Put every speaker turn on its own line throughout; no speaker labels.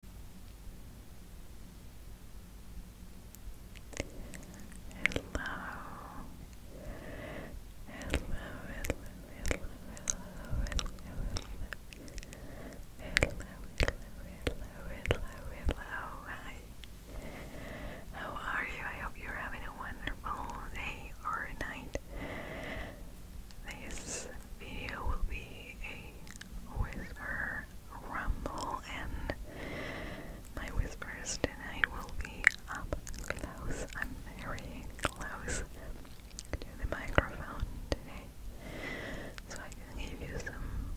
hello, hi. How are you? I hope you're having a wonderful day or night. This video will be a whisper rumble, and my whispers tonight will be up close. I'm very close to the microphone today, so I can give you some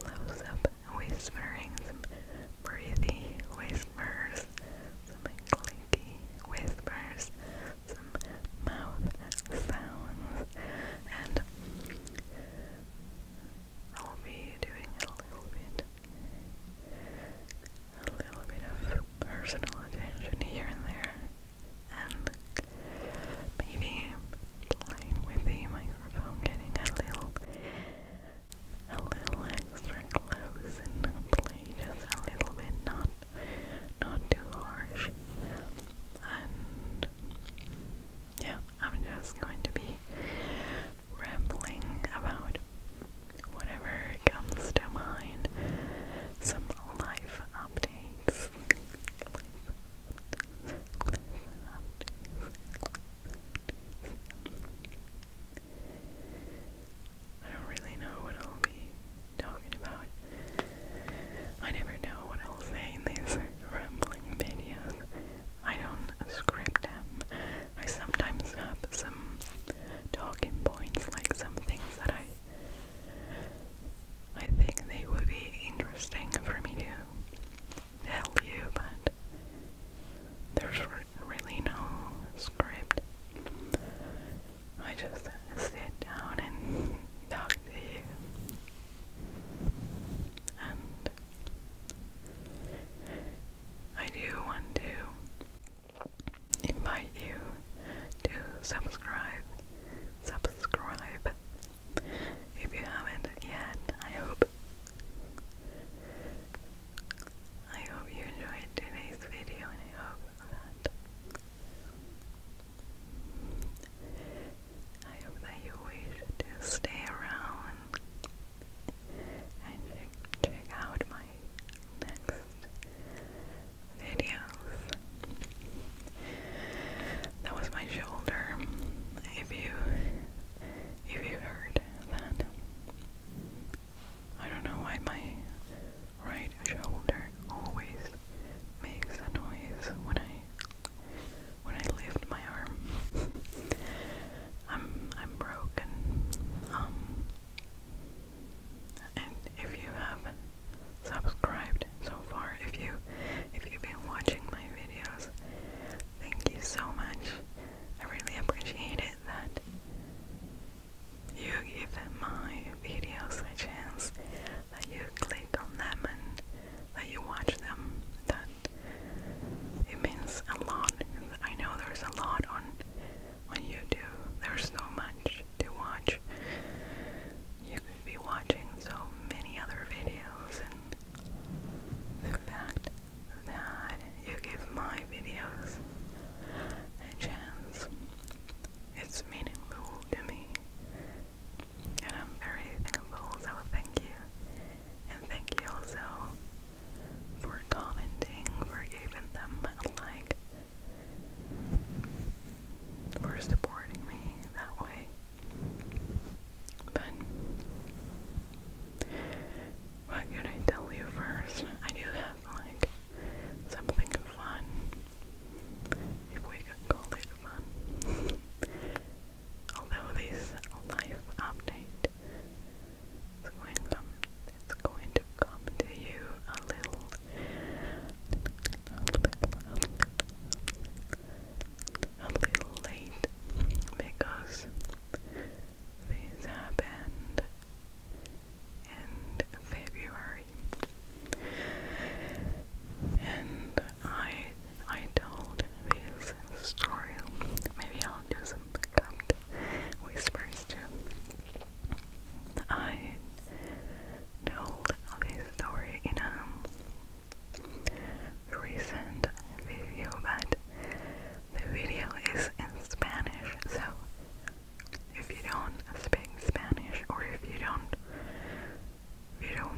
close up whispering, breathy whispers, some clicky whispers, mouth sounds and I'll be doing a little bit a little bit of personal attention here and there and maybe playing with the microphone getting a little a little extra close and play just a little bit, not not too harsh. And good. Yeah, I'm just going to be rambling about whatever comes to mind. Some life updates. Life updates. I don't really know what I'll be talking about I never know what I'll say in these rambling videos. I don't script them. I sometimes have some talking points, like some things that I I think they would be interesting for me to tell you, but there's really no script. I just sit down and talk to you. I do want to invite you to subscribe. Subscribe if you haven't yet. I hope. I hope you enjoyed today's video and I hope that I hope that you wish to stay around and check, out my next videos. That was my shoulder. If you if you heard that, I don't know why my right shoulder always makes a noise when I when I lift my arm. I'm I'm broken. Um, and if you have subscribed so far, if you if you've been watching my videos, thank you so much. I really appreciate it that you give my videos a chance that you click on them and that you watch them. That it means a lot. I know there's a lot on on YouTube. There's so much to watch. You could be watching so many other videos, and the fact that you give my videos a chance, it's meaningful to me. And I'm very thankful, so thank you. And thank you also for commenting, for giving them like, for supporting me that way. But what can I tell you first? I do have like something fun if we can call it fun. Although this life update is going to come, to come to you a little, a little late because this happened in February scary. And I I told this story. Maybe I'll do some dubbed whispers too. I told this story in a recent video, but the video is in Spanish, so if you don't speak Spanish or if you don't if you don't,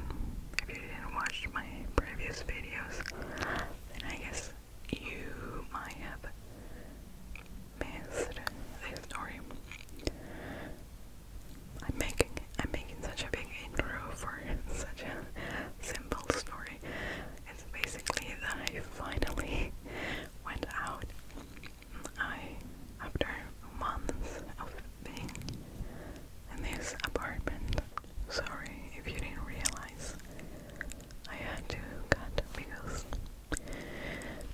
if you didn't watch my previous videos, then I guess you might have missed this story. I'm making I'm making such a big intro for such a simple story. It's basically that I finally went out. I after months of being in this apartment. Sorry if you didn't realize I had to cut because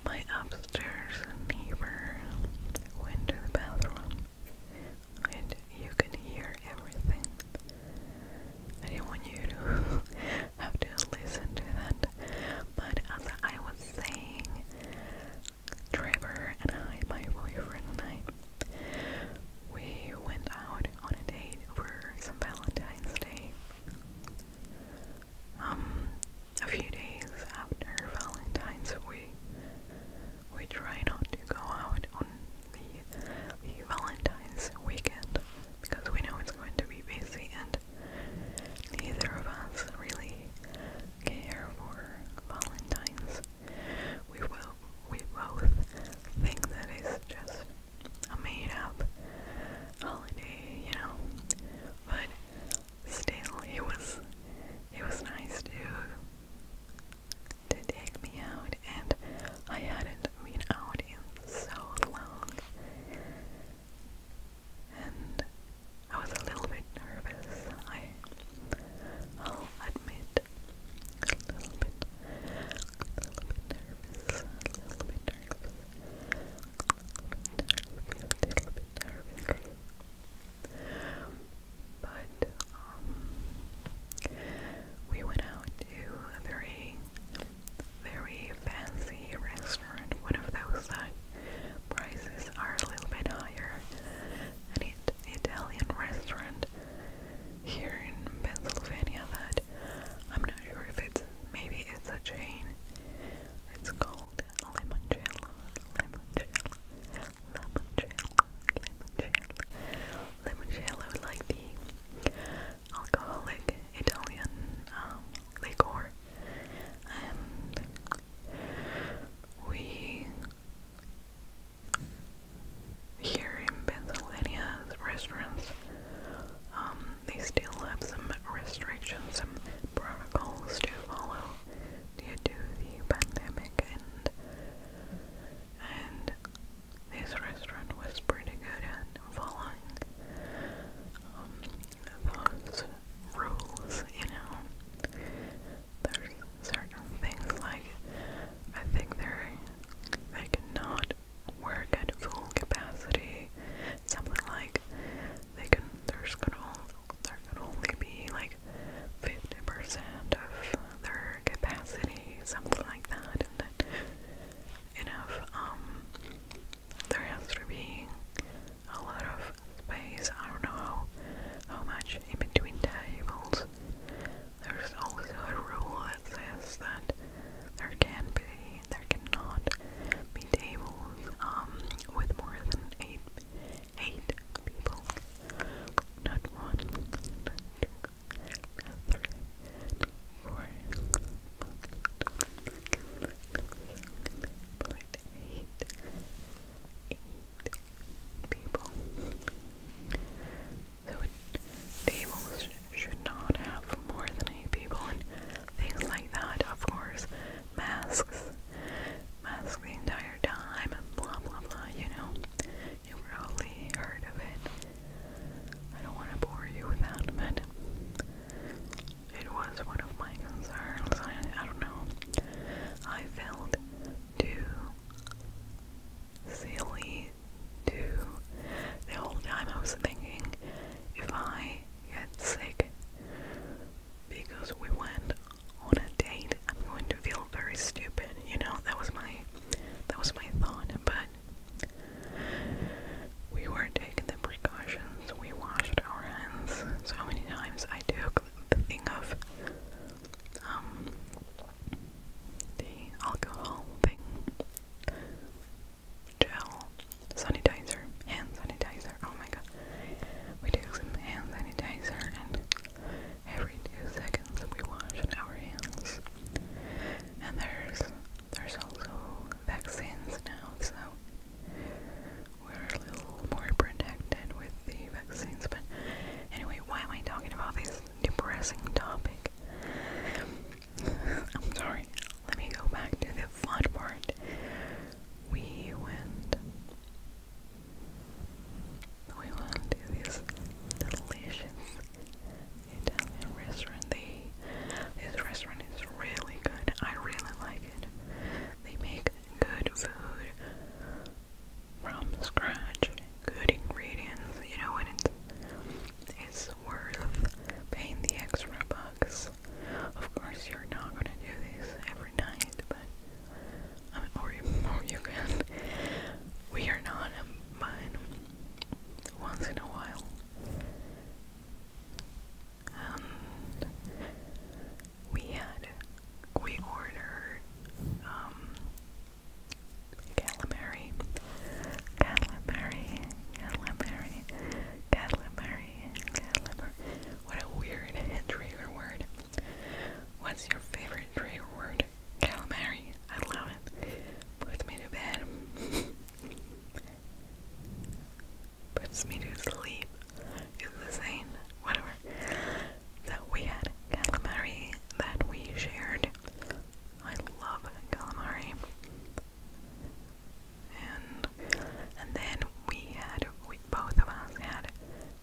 my upstairs neighbor went to the bathroom and you can hear everything. I didn't want you to have to listen to that, but as I was saying, Trevor and I, my boyfriend and I, we went out on a date for some Valentine's Day. Um, a few days after Valentine's, we we try not to go out on the Valentine's weekend because we know it's going to be busy and neither of us really care Valentine's. We will we both think that just a made up holiday, you know. But still it was it was nice to to take me out and I hadn't been out in so long. And I was a little bit nervous. I, I'll admit, a little bit, a little bit nervous, a little bit nervous, But we went out to a very, very fancy restaurant, one of those that prices are a little bit higher. An it Italian restaurant here in Pennsylvania that I'm not sure if it's maybe it's a chain. It's called Limoncello, Limoncello, Limoncello, Limoncello. like the alcoholic Italian um, liquor. And we here in Pennsylvania's restaurants, um, they still have some restrictions, and protocols to follow due to the pandemic, and this restaurant was pretty good at following um, those rules, you know there's certain things like I think they're they cannot work at full capacity. Something like they can there's gonna there can only be like fifty percent of their capacity, something like that, and enough um there has to a lot of space. I don't know how, how much in between tables. There's also a rule that says that there can be, there cannot be tables um, with more than eight, eight people. Not one, not two, not three, not four, but eight, eight people. So tables should not have more than eight people and things like that, of course. Masks. Masks the entire time blah blah blah, you know. You probably heard of it. I don't want to bore you with that, but it was one of my concerns. I don't know. I felt too silly, too. The whole time I was thinking if I get sick because we went on a date, I'm going to feel very stupid. You know, that was my that was my thought, but we were taking the precautions. We washed our hands so many times. I do the thing of um, the alcohol thing. Gel sanitizer, hand sanitizer. Oh my god. We take some hand sanitizer and every two seconds we wash our hands. And there's there's also vaccines now, so we're a little more protected with the vaccines. But anyway, why am I talking about this depressing topic? I'm sorry. Let me go back to the fun part. We went. We went to this delicious Italian restaurant. They, this restaurant is really good. I really like it. They make good food from scratch, good ingredients, you know, when it's, it's worth paying the extra bucks. Of course, you're not going to do this every night, but, um, or, you, or you can. We are not, um, but once in a while we had we ordered um calamari, calamari, calamari, calamari. What a weird trigger word. What's your favorite trigger word? Calamari. I love it. Puts me to bed. Puts me to sleep is the same, whatever. That we had calamari that we shared. I love calamari. And and then we had we both of us had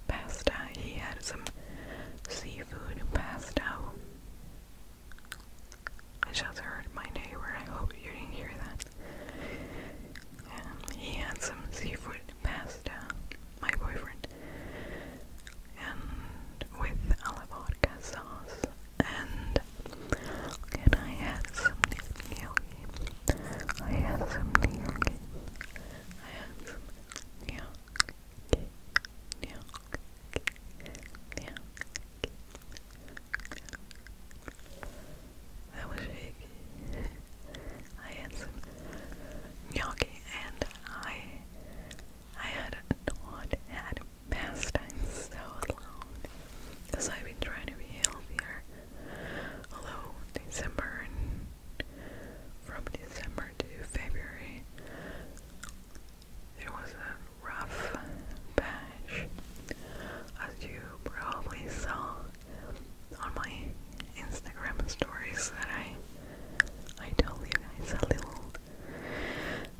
pasta. He had some seafood pasta. I just heard my neighbor. I hope you didn't hear that. he had some seafood pasta, my boyfriend, and with a la vodka sauce. And and I had some gnocchi. I had some gnocchi. I had some gnocchi. Gnocchi. Gnocchi. That was shaky. I had some and I I had not had pastime so long because I've been trying to be healthier. Although December and from December to February it was a rough patch as you probably saw on my Instagram stories that I I told you guys a little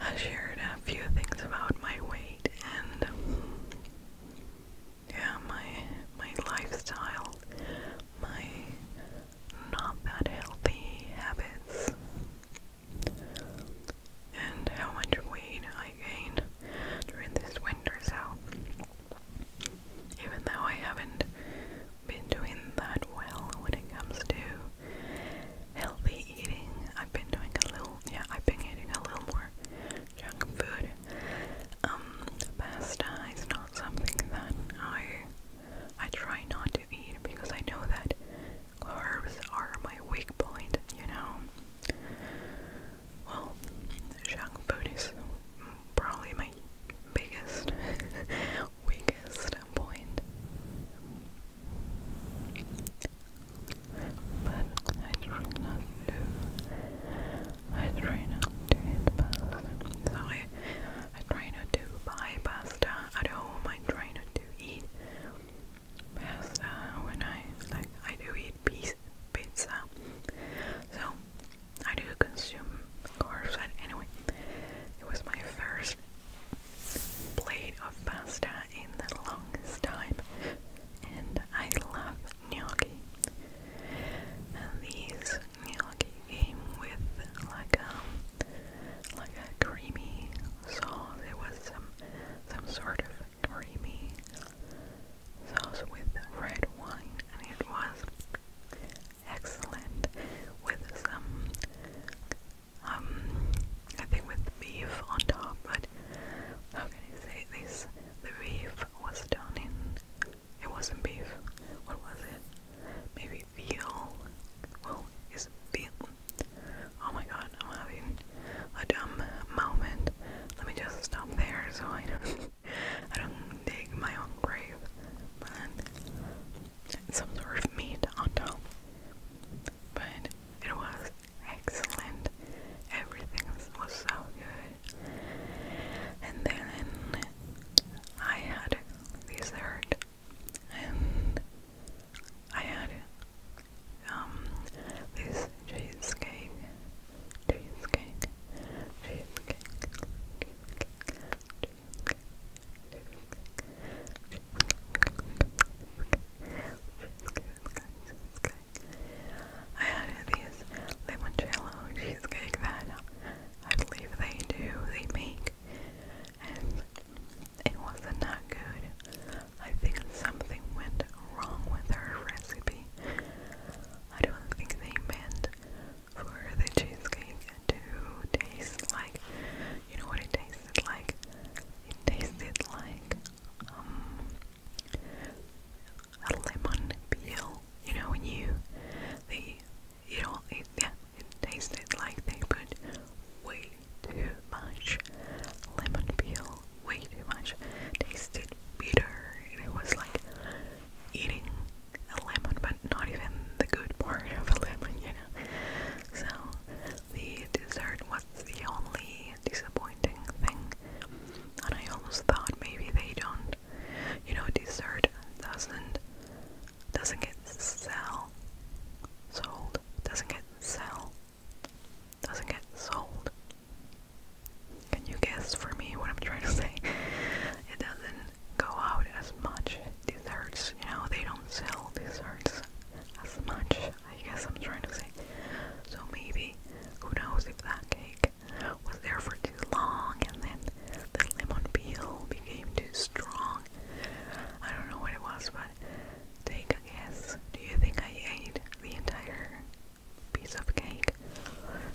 I shared a few things about my weight and yeah my my lifestyle my not that healthy habits and how much weight I gained during this winter so even though I haven't been doing that well when it comes to healthy eating. I've been doing a little, yeah, I've been eating a little more junk food. Um, pasta is not something that I I try not to eat because I know that carbs are my weak point, you know. Well, Shang Buddhism probably my biggest, weakest point. But I try not to. I try not to eat I try not to buy pasta at home. I try not to eat pasta when I like. I do eat pizza. So I do consume carbs, but anyway, it was my first plate of pasta in the longest time, and I love gnocchi. And these gnocchi came with like a um, like a creamy sauce. It was some some sort of creamy sauce with red wine and it was excellent with some um, I think with beef on top, but how can this? The beef was done in it wasn't beef. What was it? Maybe veal. Well, is veal. Oh my god, I'm having a dumb moment. Let me just stop there so I don't I don't dig my own grave, but some sort of meat on top. But it was excellent. Everything was so good. And then I had dessert, and I had um, this cheesecake cheesecake, cheesecake, I had these limoncello cheesecake that I believe they do, they make, and it wasn't that good. I think something went wrong with her recipe. I don't think they meant for the cheesecake to taste like you know what it tasted like? It tasted like um lemon peel. You know when you they you know it yeah, it tasted like they put way too much lemon peel, way too much. Tasted bitter and it was like eating a lemon, but not even the good part of a lemon, you know. So the dessert was the only disappointing thing, and I almost thought maybe they don't, you know, dessert doesn't doesn't get sell sold, doesn't get sell, doesn't get sold. Can you guess for me what I'm trying to say? It doesn't go out as much. Desserts, you know, they don't sell desserts as much, I guess I'm trying to say. So maybe, who knows if that cake was there for too long and then the lemon peel became too strong. I don't know what it was, but take a guess. Do you think I ate the entire piece of cake.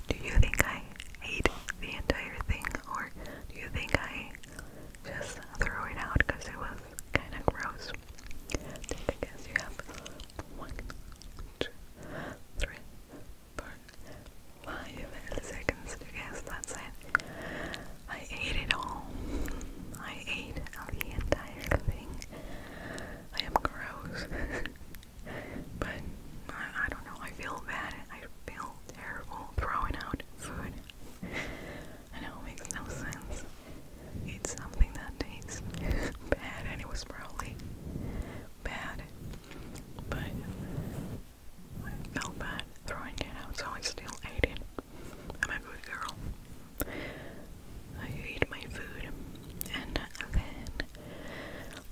Do you think I ate the entire thing, or do you think I just threw it out because it was kind of gross? Take guess. You have one, two, three, four, five seconds to guess. That's it. I ate it all. I ate the entire thing. I am gross. But I, don't know. I feel bad. I feel terrible throwing out food. I know it makes no sense. It's something that tastes bad, and it was probably bad. But I felt bad throwing it out, so I still ate it. I'm a good girl. I eat my food, and then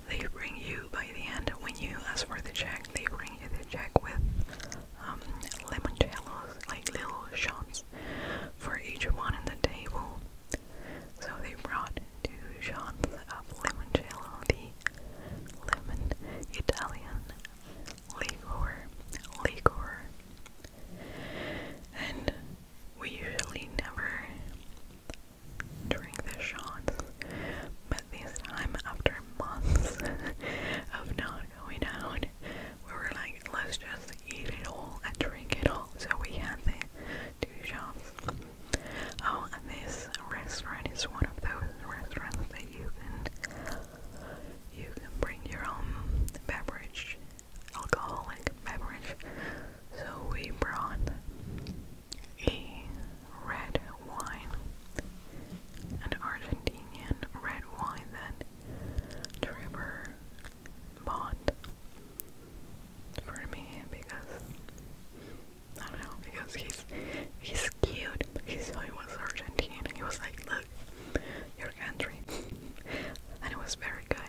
they bring you by the end when you ask for the check they bring you the check with um, limoncellos like little shots for each one in the table so they brought two shots of limoncello the lemon Italian liquor liquor and we usually never during the shots, but this time, after months of not going out, we were like, let's just eat it all and drink it all. So we had the two shots. Oh, and this restaurant is one of those restaurants that you can you can bring your own beverage, alcoholic beverage. So we brought a red wine, an Argentinian red wine that Trevor bought for me because I don't know because he's he's cute. He saw he was Argentine and he was like, "Look, your country," and it was very good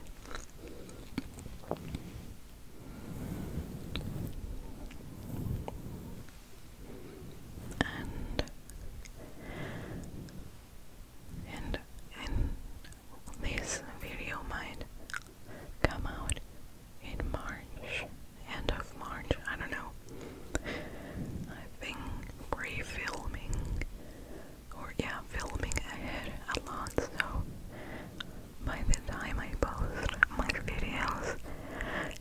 and and and this video might come out in March, end of March, I don't know. I've pre-filming or yeah, filming ahead a lot, so by the time I post my videos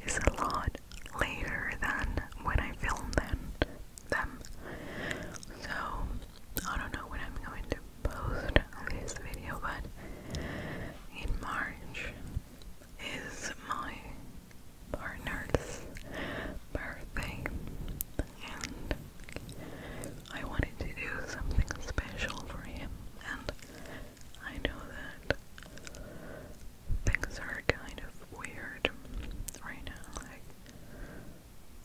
it's a lot later than when I filmed them. them. So, I don't know when I'm going to post this video, but in March is my partner's birthday, and I wanted to do something special for him and I know that things are kind of weird right now. Like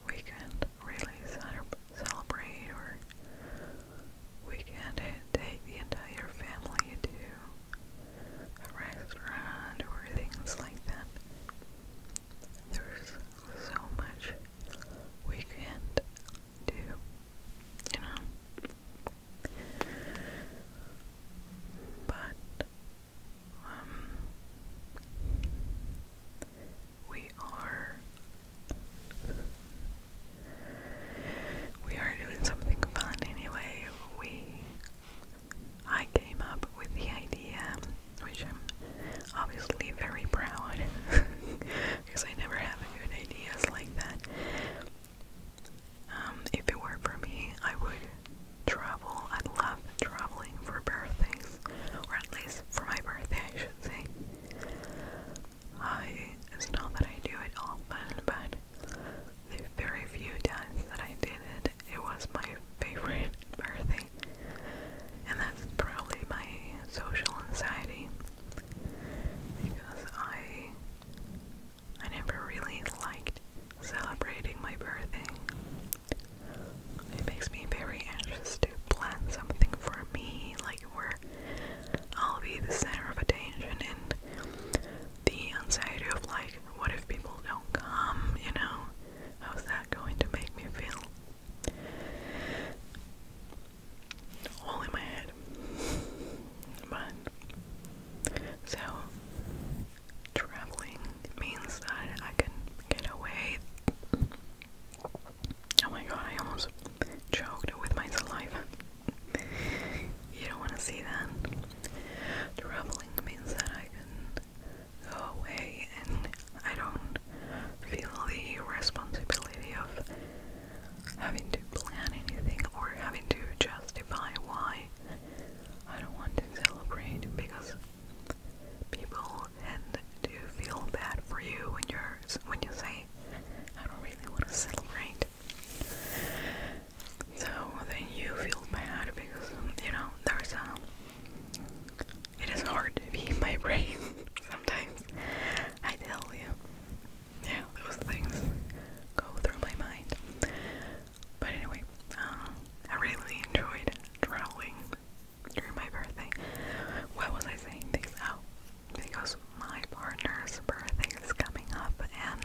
we can't really celebrate, or we can't take the entire family to a restaurant or things like that. There's so much we do, you know. But um, we are we are doing something fun anyway. We I came up with the idea, which I'm obviously very proud because I never have good ideas like that. Um, if it were for me, I would travel. I love traveling for birthdays, or at least for my birthday, I should say. I it's not that I do it all, but the very few times that I did it, it was my favorite birthday, and that's probably my social anxiety because I I never really liked celebrating my birthday. It makes me very anxious to plan something for me, like where I'll be the center of attention and the anxiety of like, what if people don't come, you know? How's that going to make me feel? all in my head. But so traveling means that I can get away. Oh my god, I almost choked with my saliva. You don't want to see that. Traveling means that I can go away and I don't feel the responsibility of having to plan anything or having to justify why I don't want to celebrate because people tend to feel bad for you when you're when you say I don't really want to celebrate. So then you feel bad because you know there's a it is hard to be my brain sometimes. I tell you. Yeah, those things go through my mind. But anyway, um, I really enjoyed traveling during my birthday. Why was I saying this? Oh, because my partner's birthday is coming up and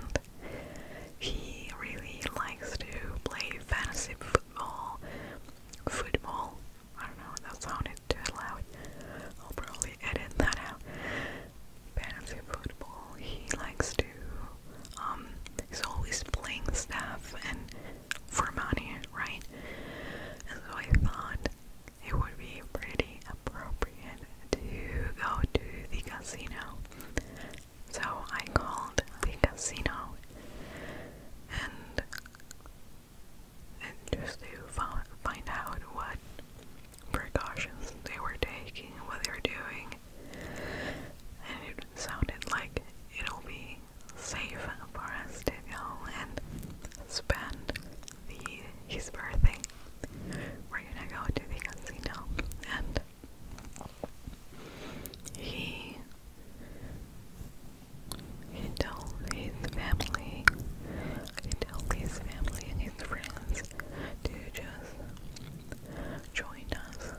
he really likes to play fantasy football. Football, I don't know what that sounded too loud. I'll probably edit that out. Fantasy football. He likes to um he's always playing stuff and for money, right? And so I thought it would be pretty appropriate to go to the casino. So I called the casino and and just to find out what precautions they were taking, what they were doing. And it sounded like it'll be safe for us to go and spend the his birthday. We're gonna go to the casino and he he told his family, he told his family and his friends to just join us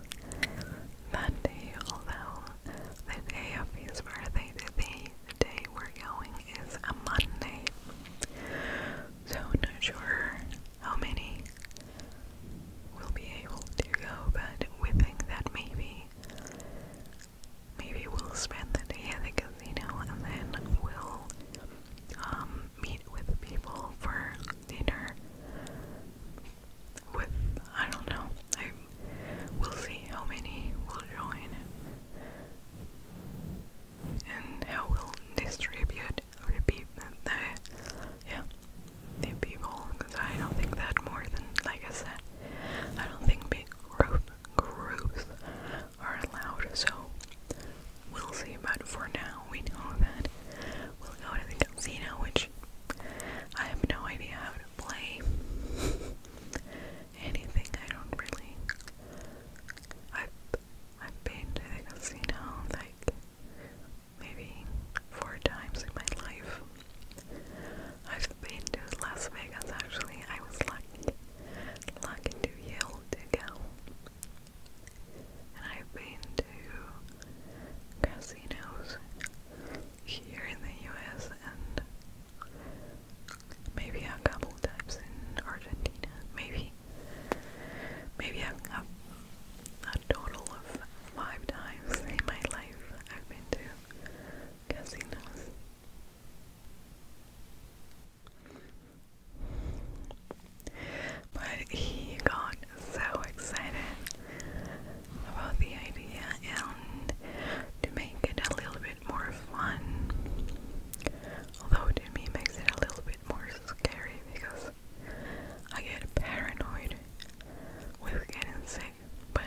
that day, although the day of his birthday, the day, the day we're going is a Monday. So not sure how many will be able to go, but we think that maybe maybe we'll spend the day at the casino and then we'll um, meet with people for dinner. With, I don't know, I will see how many will join and how we'll distribute the people, yeah, the people, because I don't think that more than, like I said, I don't think big group, groups are allowed, so we'll see. about it. for now, we know that we'll go to the casino, which I have no idea how to play anything. I don't really. I've, I've been to the casino like maybe four times in my life. I've been to Las Vegas actually. I was lucky, lucky to be able to go. And I've been to casinos here in the US and maybe a couple times in Argentina. Maybe, maybe a, total of five times in my life I've been to casinos. But he got so excited about the idea and to make it a little bit more fun. Although to me makes it a little bit more scary because I get paranoid with getting sick. But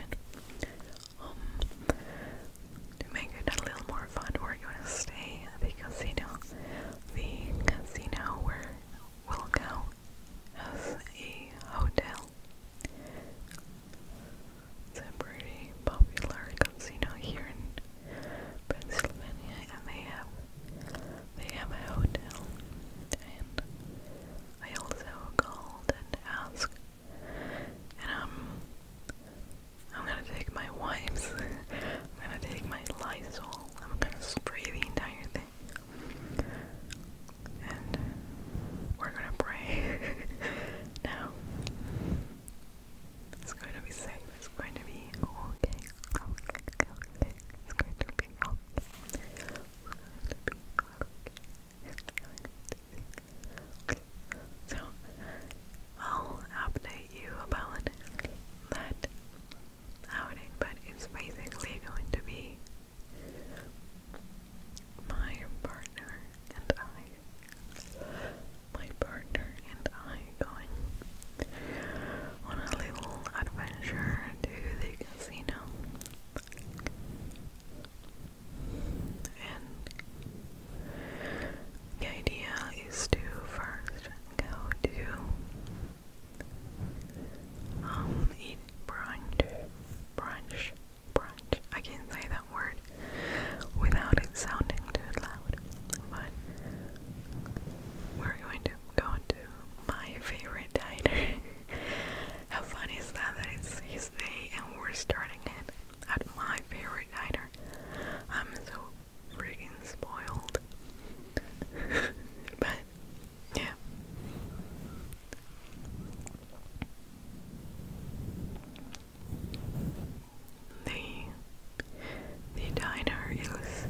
um, to make it a little more fun, we're gonna stay at the casino. The casino where we'll go as a hotel. It's a pretty popular casino here in Pennsylvania, and they have they have a hotel. And I also called and asked and um, I'm gonna take my wipes, I'm gonna take my Lysol, I'm gonna spray the entire thing, and we're gonna pray now. It's going to be safe. It's going to be okay. It's going to be okay. It's going to be okay. So I'll update you about that outing, but it's basically going to be my partner and I. My partner and I going on a little adventure to the casino the idea is to first go to um, eat brunch brunch brunch. I can't say that word without it sounding too loud. But we're going to go to my favorite diner. How funny is that that it's his day and we're starting it at my favorite diner. I'm so freaking spoiled. but, yeah. The, the diner is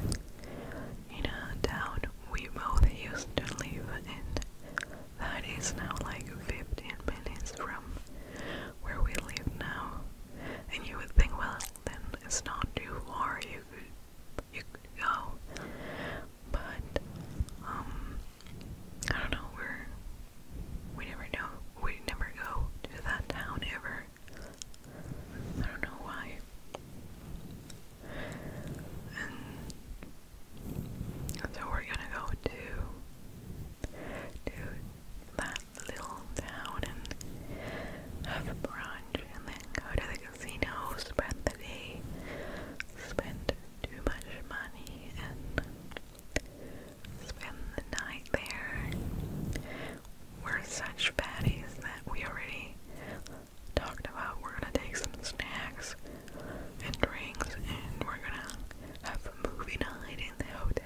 in a town we both used to live in. That is now like 15 minutes from where we live now. And you would think, well, then it's not too far you could, you go. But, um, I don't know, we we never know, we never go to that town ever. I don't know why. so we're gonna go to to that little town and have a brunch and then go to the casino, spend the day, spend too much money and spend the night there. We're such fatties that we already talked about we're gonna take some snacks and drinks and we're gonna have a movie night in the hotel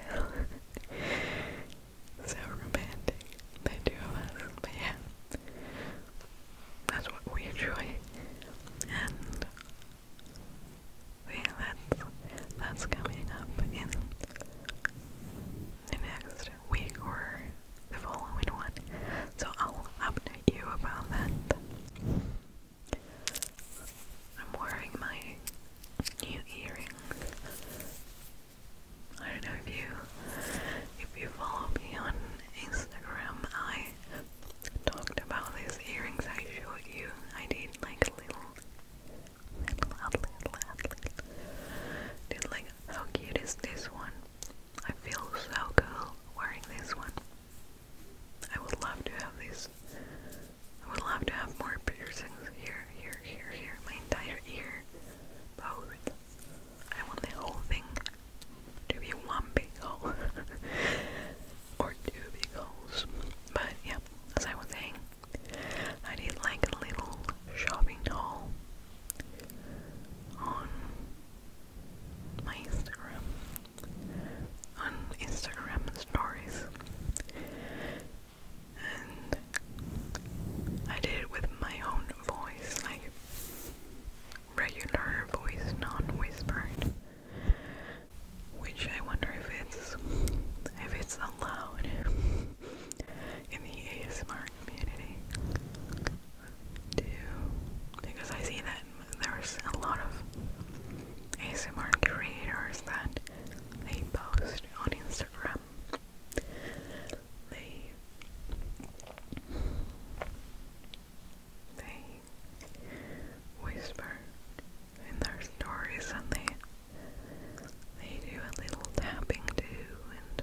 so romantic, the two of us. But yeah, that's what we enjoy. And yeah, that's, that's coming up in the next week or the following one. So I'll update you about that. I'm wearing my new earring. I don't know if you if you follow me on Instagram, I talked about these earrings I showed you. I did like little little little outlet. Did like how cute is this one? I feel so cool wearing this one. I would love to have these. I would love to have more piercings here, here, here, here, my entire ear, both. I want the whole thing to be one big hole, or two big holes. But yeah, as I was saying, I need like a little shopping haul on my Instagram on Instagram stories. And I did it with my own voice, like regular voice, non whispered. Which I wonder if it's if it's allowed in the ASMR community to because I see that there's a lot of ASMR creators that they post on Instagram. They they whisper in their stories and they they do a little tapping too and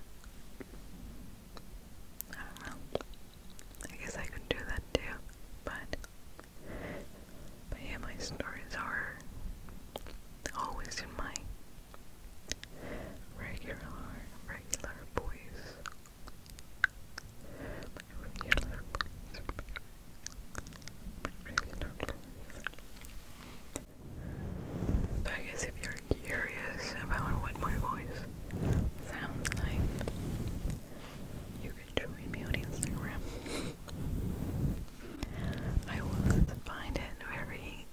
I don't know. I guess I could do that too, but but yeah, my stories are always in my regular, regular voice. regular regular I guess if you're curious about what my voice sounds like, you join me on Instagram. I always find it very,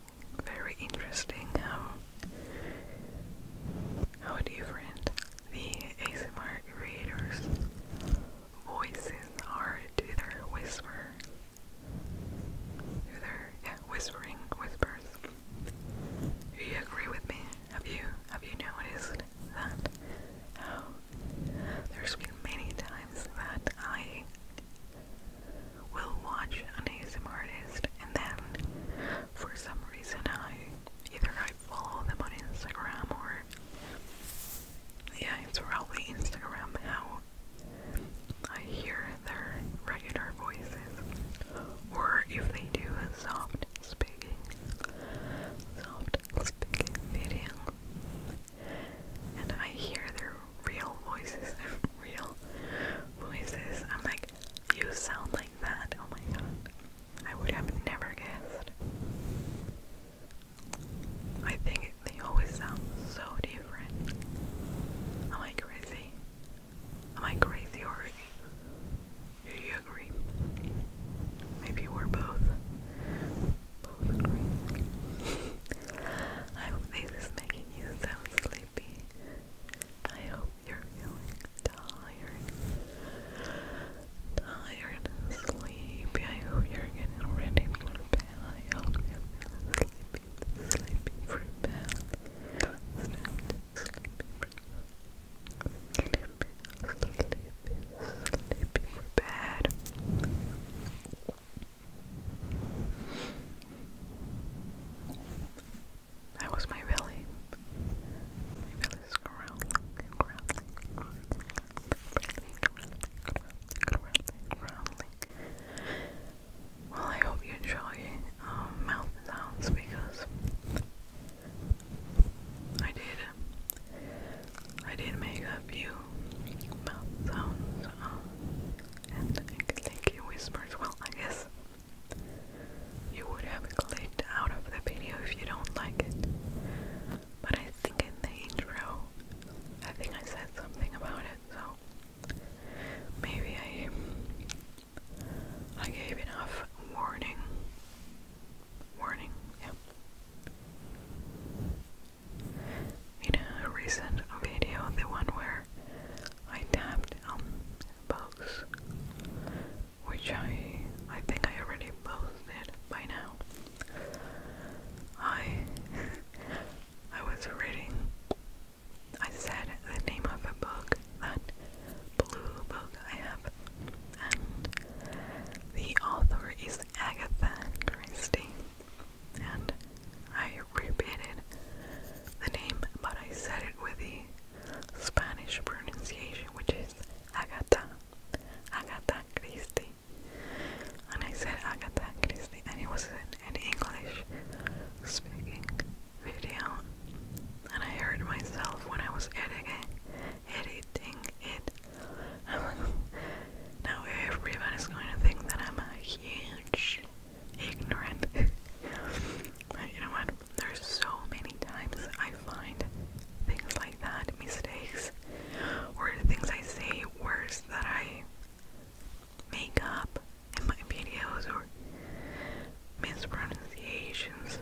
very interesting how how different the ASMR creators' voices are to whisper, to yeah, whispering whispers. Do you agree with me? Have you have you noticed that? There's been many times that I will watch an ASM artist and then for some reason I either I follow them on Instagram or yeah, it's probably Instagram how I hear their regular voices or if they do a soft speaking soft this video and I hear their real voices, real voices. I'm like, you sound like that. Oh my god. I would have never guessed. I think they always sound so different. Am I crazy? Am I crazy or do you agree? Maybe we're both. I hope this is making you so sleepy. I hope you're feeling tired. Tired sleepy. I hope you're getting ready for bed. I hope you're feeling sleepy. Sleepy for bed. Sleepy. Sleepy. Sleepy sleepy, for bed. That was my belly. My belly's growling, growling, growling, growling, Well, I hope you enjoy um, mouth sounds because I did. I did make a few mouth sounds, um, and I think you whispers. Well, I guess you would have clicked out of the video if you don't like it. But I think in the intro, I think I said something about it, so maybe I I gave enough warning. Warning, yeah. In a recent video, the one where I tapped um, books, which I I think I already posted by now. I I was reading. I said the name of a book, that blue book I have the author is Agatha Christie. And I repeated the name, but I said it with the Spanish pronunciation, which is Agatha, Agatha Christie. And I said Agatha Christie, and it was an, an English speaking video. And I heard myself when I was editing, editing it. now everyone is going to think that I'm a huge ignorant. you know what? There's so many times I find things like that, mistakes, or things I say worse that I make up in my videos or mispronunciations.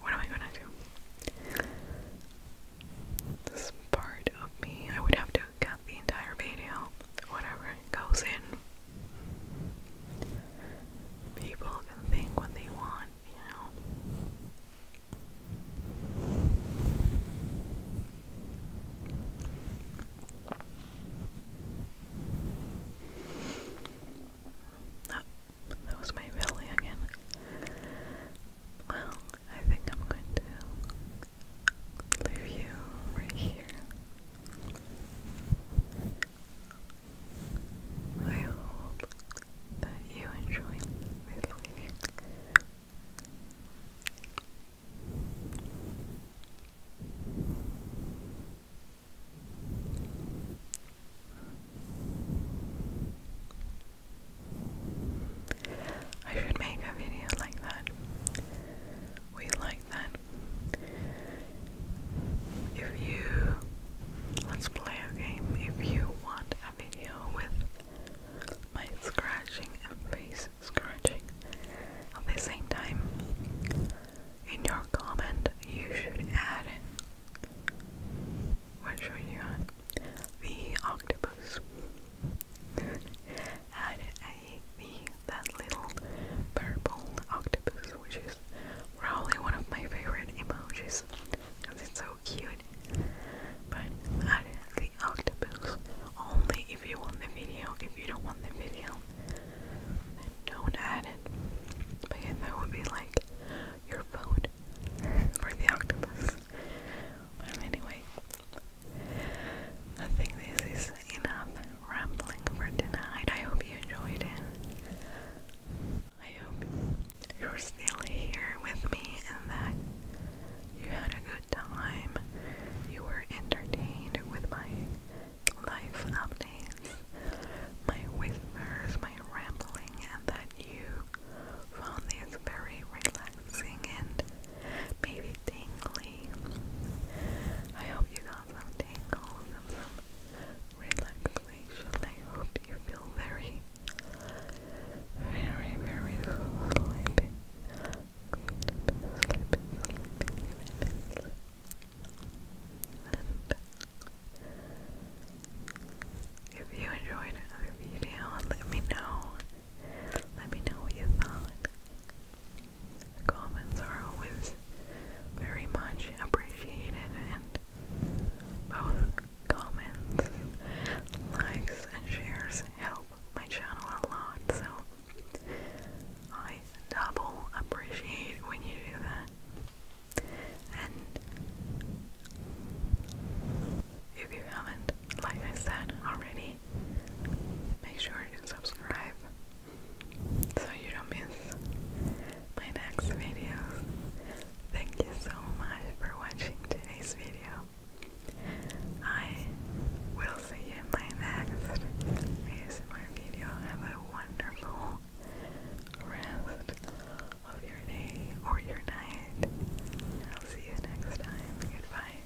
What am I gonna do? this part of me. I would have to cut the entire video, whatever it goes in. People can think what they want, you know. That was my belly again. Well, I think I'm going to leave you right here. I hope that you enjoyed I should make a video like that. We like that. If you let's play a game, if you want a video with my scratching and face scratching at the same time, in your comment you should add i What show you on? The octopus had a the that little purple octopus, which is probably one of my favorite emojis because it's so cute. But add the octopus only if you want the video. If you don't want the video, don't add it. But that would be like your phone for the octopus anyway, I think this is enough rambling for tonight. I hope you enjoyed it. I hope you're still here with me and that you had a good time. You were entertained with my life updates, my whispers, my rambling, and that you found these very relaxing and maybe tingly. I hope you got some tingles some relaxation. I hope you feel very, very, very sleepy. If you enjoyed another video, let me know. Let me know what you thought. comments are always very much appreciated, and both comments, likes, and shares help my channel a lot. So I double appreciate when you do that. If you haven't, like I said already, make sure to subscribe so you don't miss my next videos. Thank you so much for watching today's video. I will see you in my next ASMR video. Have a wonderful rest of your day or your night. I'll see you next time. Goodbye.